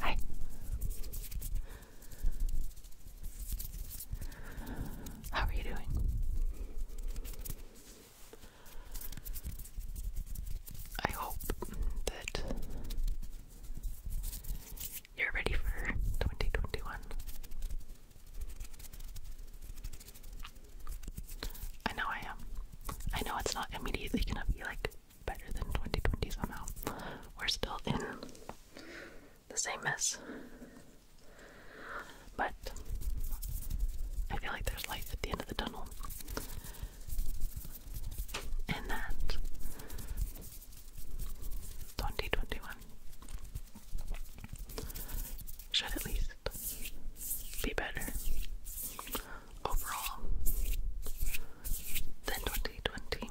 Hi. How are you doing? I hope that you're ready for 2021. I know I am. I know it's not immediately gonna be like better than 2020 somehow. We're still in the same mess. But I feel like there's light at the end of the tunnel. And that 2021 should at least be better overall than 2020.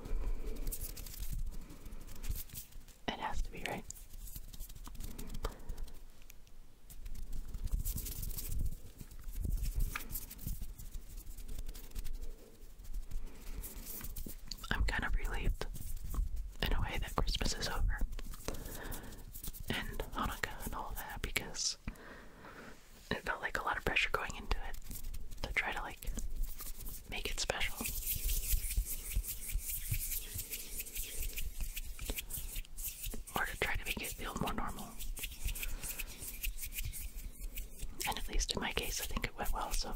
It has to be, right? I'm kind of relieved in a way that Christmas is over and Hanukkah and all that because it felt like a lot of pressure going into it to try to like make it special. Or to try to make it feel more normal. And at least in my case, I think it went well, so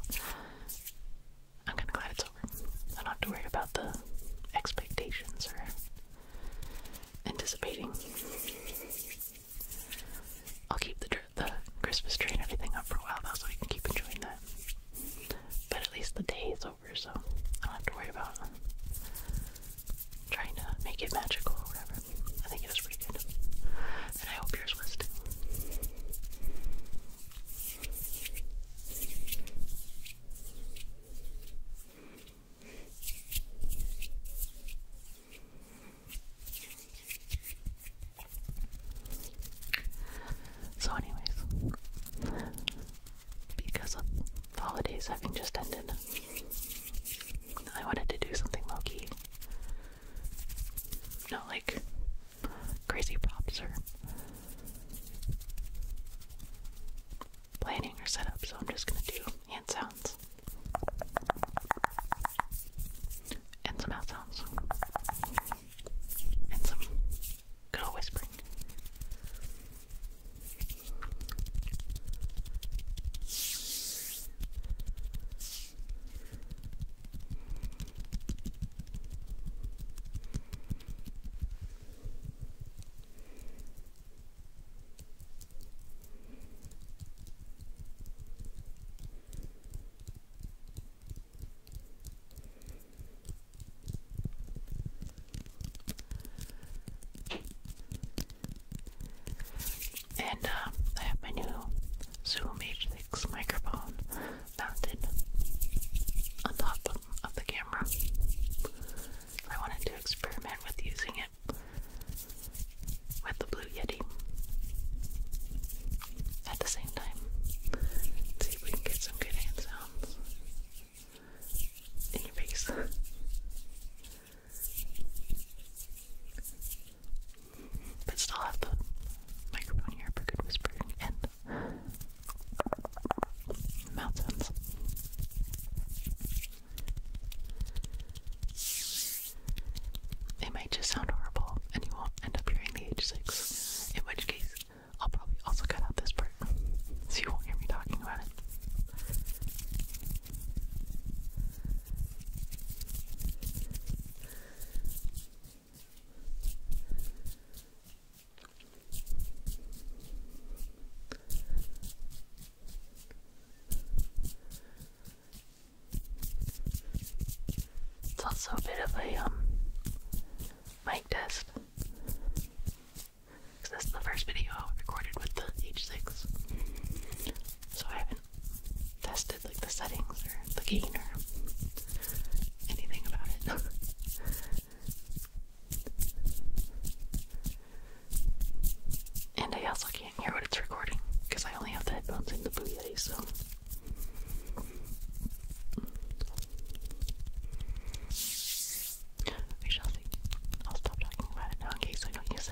I'm kind of glad it's over. I am not too worried about the expectations or anticipating. I'll keep the, Christmas tree and everything up for a while, so we can keep enjoying that. But at least the day is over, so I don't have to worry about trying to make it magical or whatever. I think it is pretty good. And I hope yours was too. So, anyways, because the holidays having just ended, I wanted to do something low key. Not like crazy props or planning or setup, so I'm just gonna do hand sounds and some mouth sounds and some good whispering. And uh, I have my new Zoom H6 microphone mounted on top of the camera. I wanted to experiment with using it with the Blue Yeti at the same time. see if we can get some good hand sounds in your face. but still have the microphone here for good whispering and mouth it might just sound horrible and you won't end up hearing the H6, in which case, I'll probably also cut out this part so you won't hear me talking about it. It's also a bit of a um mic test. Cause this is the first video I recorded with the H6. So I haven't tested like the settings or the gain or anything about it. And I also can't hear what it's recording because I only have the headphones in the Blue eh, Yeti, so. I shall see. I'll stop talking about now in case I don't use it.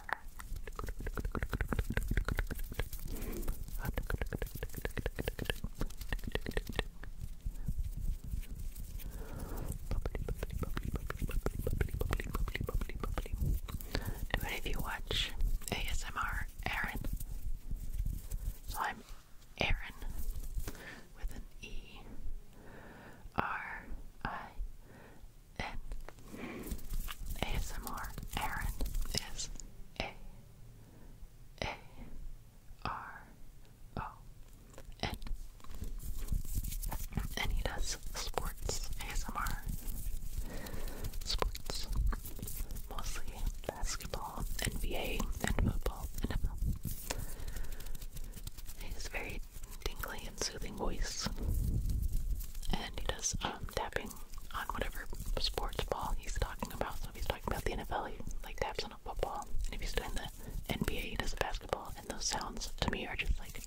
Do any of you watch ASMR Aaron? So I'm Aaron with an E R I in ASMR. Aaron is A A R O N. And he does sports ASMR. Sports. Mostly basketball, NBA, and football, NFL. He's very tingly soothing voice. And he does um, tapping on whatever sports ball he's talking about. So he's talking about the NFL, he like taps on a football. And if he's doing the NBA, he does a basketball. And those sounds to me are just like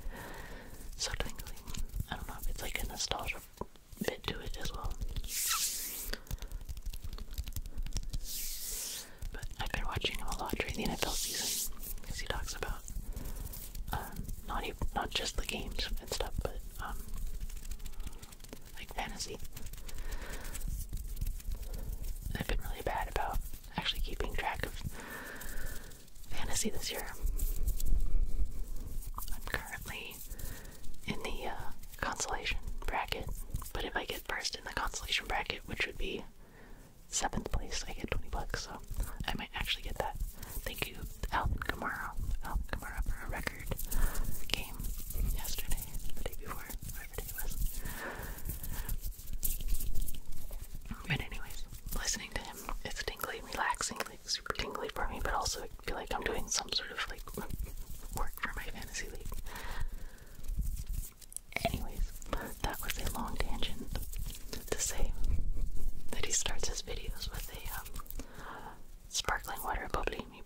so tingling. I don't know if it's like a nostalgia bit to it as well. But I've been watching him a lot during the NFL season because he talks about um, not even not just the games and stuff, but um, like fantasy. I've been really bad about actually keeping track of fantasy this year. I'm currently in the uh, consolation bracket, but if I get first in the consolation bracket, which would be seventh place, I get 20 bucks, so I might actually get that. Thank you, Alvin Kamara, Alvin Kamara for a record game yesterday, the day before, whatever day it was. But anyways, listening to him, it's tingly, relaxing, like super tingly for me, but also I feel like I'm doing some sort of like work for my fantasy league. Anyways, that was a long tangent to say that he starts his videos with the um, sparkling water bubbly. He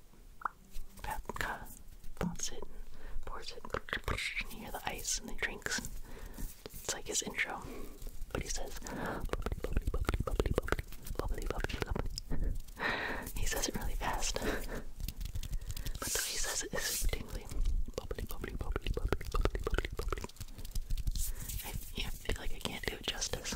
pops it and pours it. And you hear the ice and the drinks. And it's like his intro. But he says, bubbly, bubbly, bubbly, bubbly, bubbly, bubbly, bubbly, bubbly. he says it really fast. but the way he says it is tingly. Bubbly, bubbly, bubbly, bubbly, bubbly, bubbly, bubbly. I feel like I can't do justice.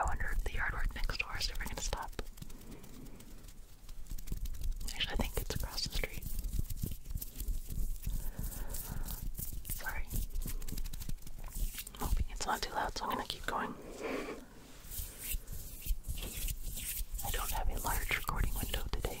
I wonder if the yard work next door is ever going to stop. Actually, I think it's across the street. Sorry. I'm hoping it's not too loud, so I'm gonna keep going. I don't have a large recording window today.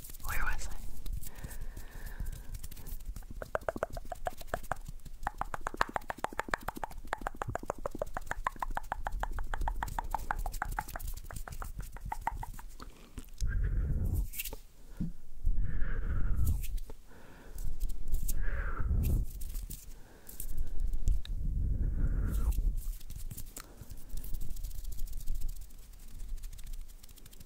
Where was I?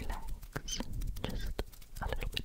relax just a little bit, just a little bit, just a little bit.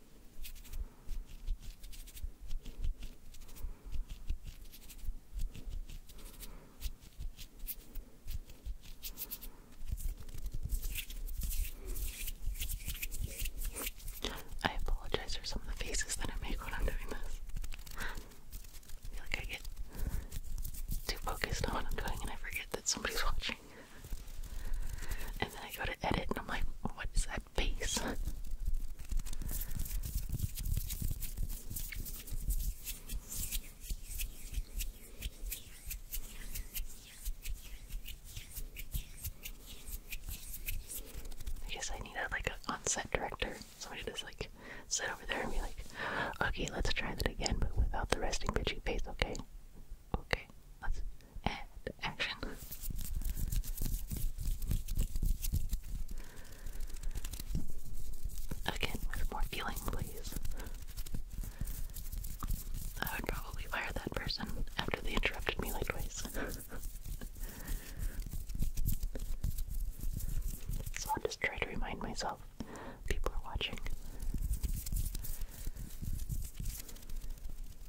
I apologize for some of the faces that I make when I'm doing this. feel like I get too focused on what I'm doing and I forget that somebody's watching. And then I go to edit and I'm like, what is that face? I guess I need a like an on-set director. Somebody just like sit over there and be like, okay, let's try that again, but without the resting bitchy face, okay? Okay, let's add action. Again, with more feeling, please. I would probably fire that person after they interrupted me like twice. so I'll just try to remind myself people are watching.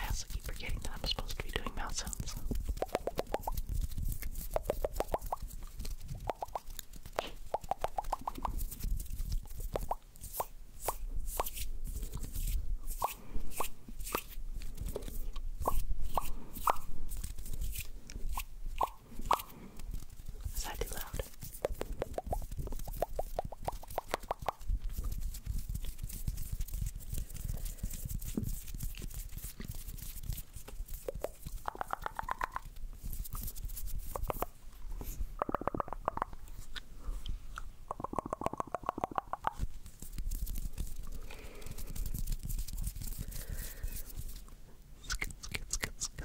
I also keep forgetting that I'm supposed to be doing mouth sounds. Is that too loud? Skit, skit, skit, skit,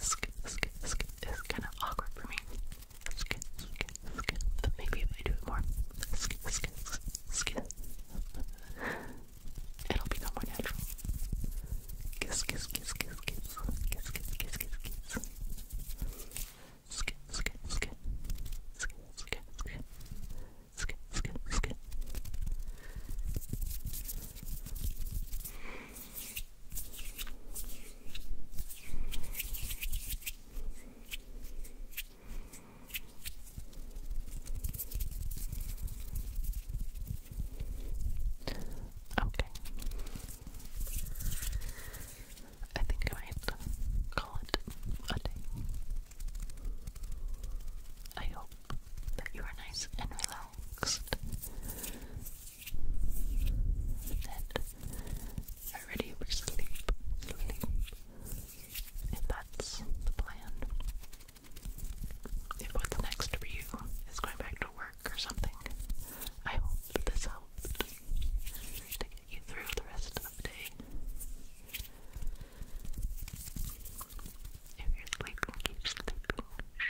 sk, sk, sk is kind of awkward for me. Sk, sk, sk. But maybe if I do it more, sk, sk, sk, sk. it'll become more natural. Kiss, kiss, kiss, kiss, kiss, kiss, kiss, kiss, kiss, kiss. Sk, sk, sk, sk, sk, sk. Skip, skip, skip. Okay. I think I might call it a day. I hope that you are nice and relaxed then already we sleep, sleep. And that's the plan. If what's next for you is going back to work or something, I hope that this helps to get you through the rest of the day. If you're sleeping, keep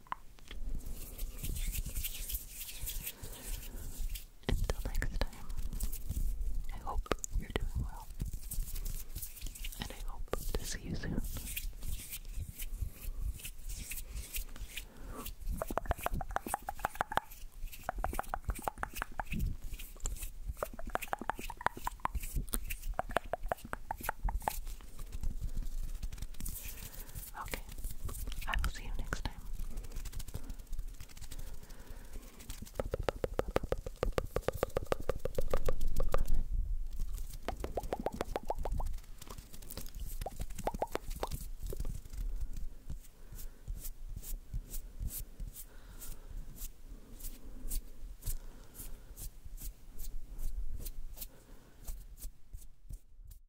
Until next time, I hope you're doing well. And I hope to see you soon. Okay, I will see you next time.